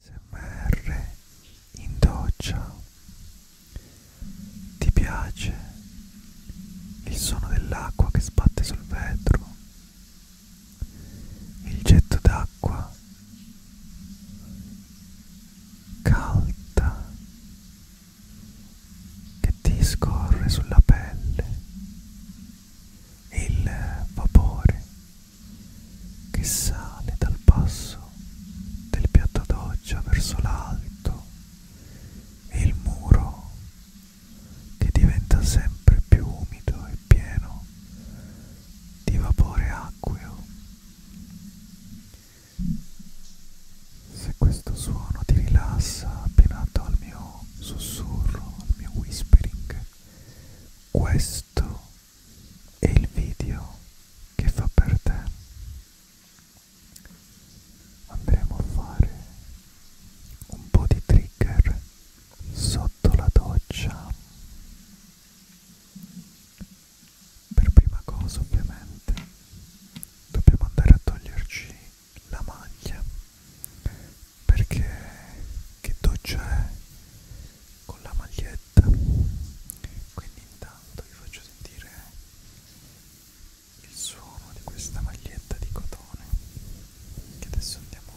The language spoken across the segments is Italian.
SMR in doccia. Ti piace il suono dell'acqua che sbatte sul vetro? Il getto d'acqua calda che ti scorre sulla pelle? Il vapore che sale dal basso del piatto doccia verso l'alto e il muro che diventa sempre più umido e pieno di vapore acqueo. Se questo suono ti rilassa abbinato al mio sussurro, al mio whispering, questo è il video che fa per te andremo a fare un po' di trigger sotto la doccia per prima cosa ovviamente dobbiamo andare a toglierci la maglia perché che doccia è con la maglia diretta quindi intanto vi faccio sentire il suono di questa maglietta di cotone che adesso andiamo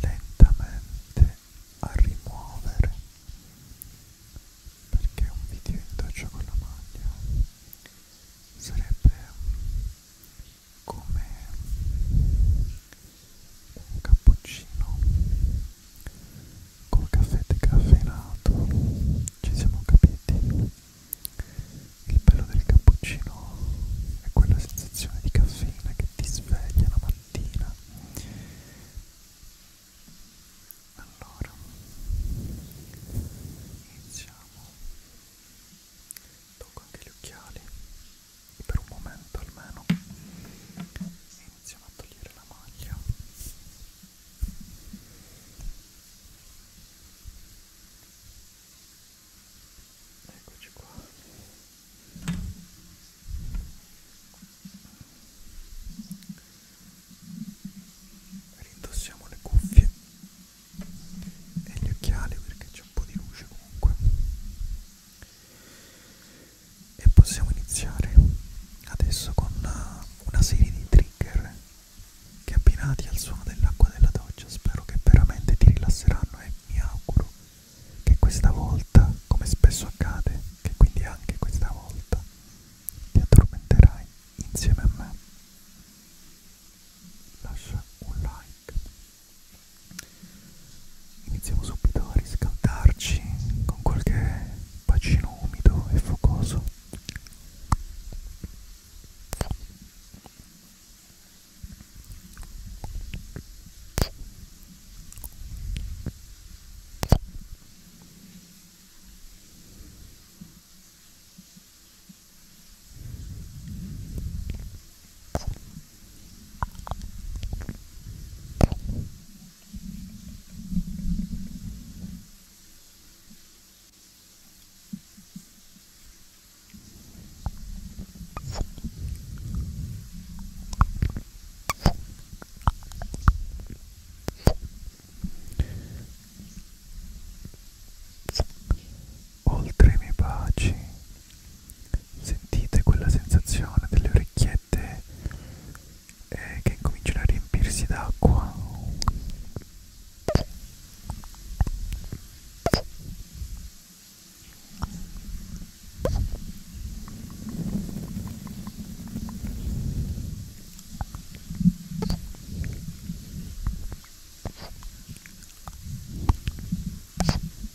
lentamente a rimuovere perché un video in doccia con la maglia sarebbe come un cappuccino col caffè decaffeinato ci siamo capiti il bello del cappuccino è quella sensazione di caffeina che ti sveglia la mattina allora iniziamo tocco anche gli occhiali per un momento almeno iniziamo a togliere la maglia eccoci qua Rindossiamo le cuffie e gli occhiali perché c'è un po' di luce comunque e possiamo iniziare adesso con eh, una serie di trigger che abbinati al suono dell'acqua della doccia spero che veramente ti rilasseranno e mi auguro che questa volta, come spesso accade, che quindi anche questa volta ti addormenterai insieme a me. Lascia un like Iniziamo subito a riscaldarci con qualche bacino umido e focoso. Oltre i miei baci Sentite quella sensazione delle orecchiette eh, che cominciano a riempirsi d'acqua.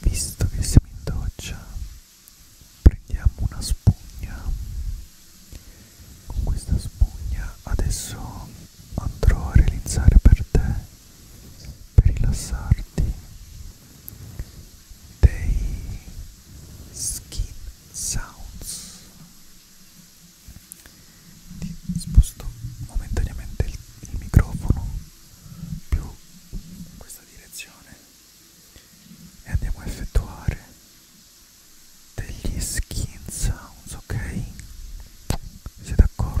Visto che siamo in doccia, prendiamo una spugna. Con questa spugna adesso andrò a realizzare per te, per rilassarti, dei skin sounds. Ti sposto momentaneamente il, il microfono più in questa direzione e andiamo a effettuare degli skin sounds ok siete d'accordo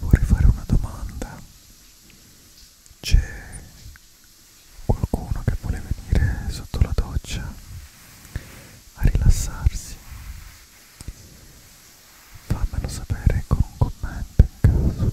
Vorrei fare una domanda. C'è qualcuno che vuole venire sotto la doccia a rilassarsi? Fammelo sapere con un commento in caso.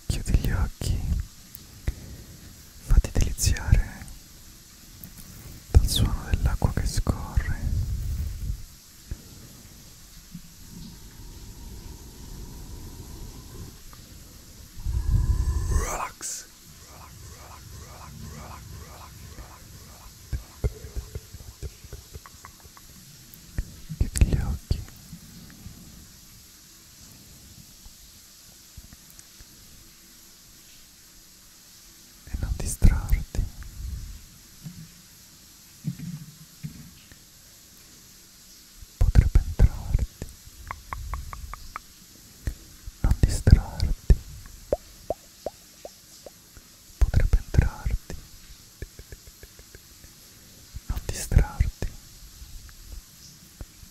chiudi gli occhi, fatti deliziare dal suono dell'acqua che scorre. Relax. Chiudi gli occhi e non distrarti potrebbe entrarti non distrarti potrebbe entrarti non distrarti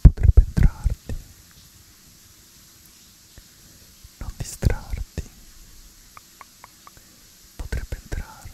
potrebbe entrarti non distrarti potrebbe entrarti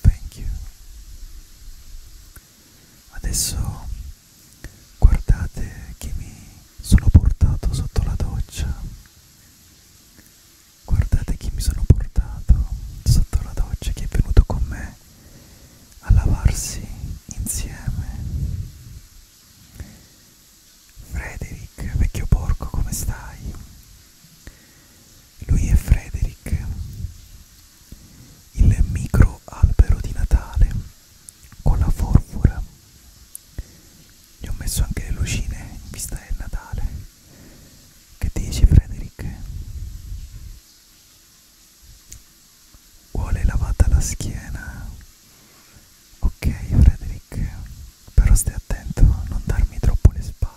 Thank you. Adesso guardate che mi sono portato sotto la doccia. Guardate chi mi sono portato sotto la doccia, che è venuto con me a lavarsi insieme. Frederick, vecchio porco, come stai? Lui è Frederick, il micro albero di Natale con la forfora. Gli ho messo anche le lucine in vista del Natale. Che dici Frederick? Vuole lavata la schiena? Ok Frederick però stai attento a non darmi troppo le spalle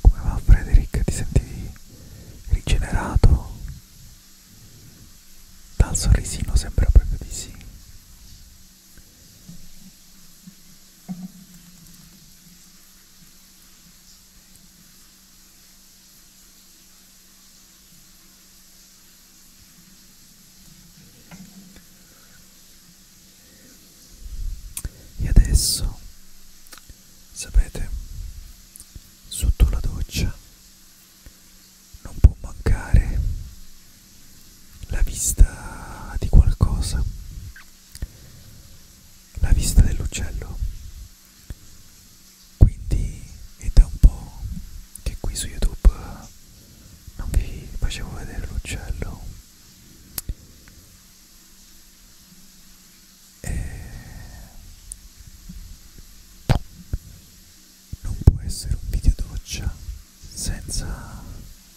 Come va Frederick? Ti senti rigenerato? Dal sorrisino sembra proprio di sì. E adesso, sapete, sotto la doccia non può mancare la vista di qualcosa, la vista dell'uccello. Quindi è da un po' che qui su YouTube non vi facevo vedere l'uccello. E non può essere un video doccia senza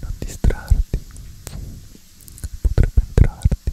non distrarti potrebbe entrarti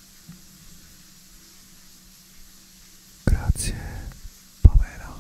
Grazie Pamela.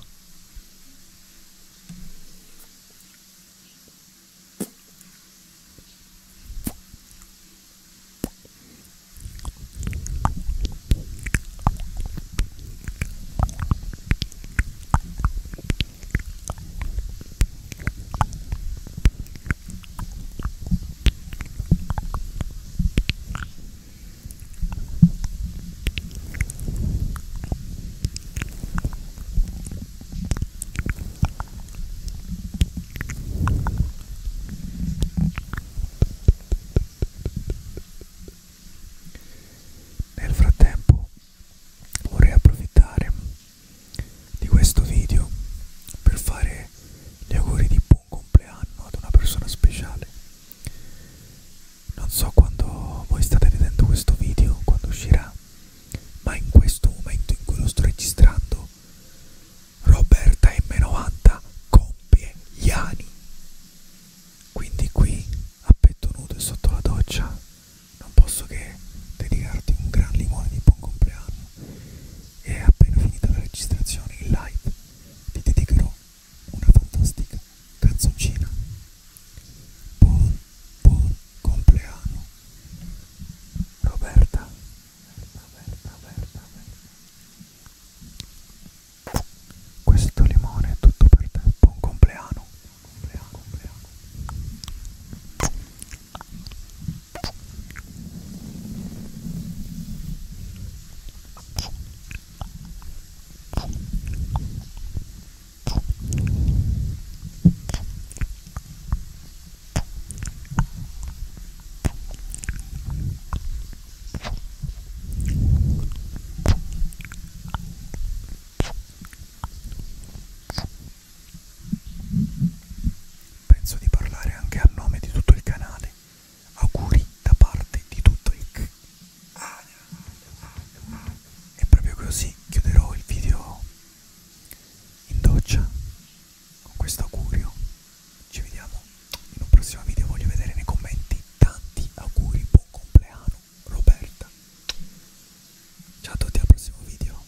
Nel frattempo vorrei approfittare di questo video per fare fare gli auguri di buon compleanno ad una persona speciale. Non so quando voi state vedendo questo video, quando uscirà, ma in questo momento in cui lo sto registrando, Roberta M90 compie gli anni. Quindi qui, a petto nudo e sotto la doccia, non posso che dedicarti un gran limone di buon compleanno e appena finita la registrazione in live vi dedicherò una fantastica canzoncina. Buon, buon compleanno. Roberta. Roberta, Roberta, Roberta. Questo limone è tutto per te. Buon compleanno. Compleanno, compleanno. Penso di parlare anche a nome di tutto il canale auguri da parte di tutto il c e proprio così chiuderò il video in doccia con questo augurio ci vediamo in un prossimo video voglio vedere nei commenti tanti auguri buon compleanno Roberta ciao a tutti al prossimo video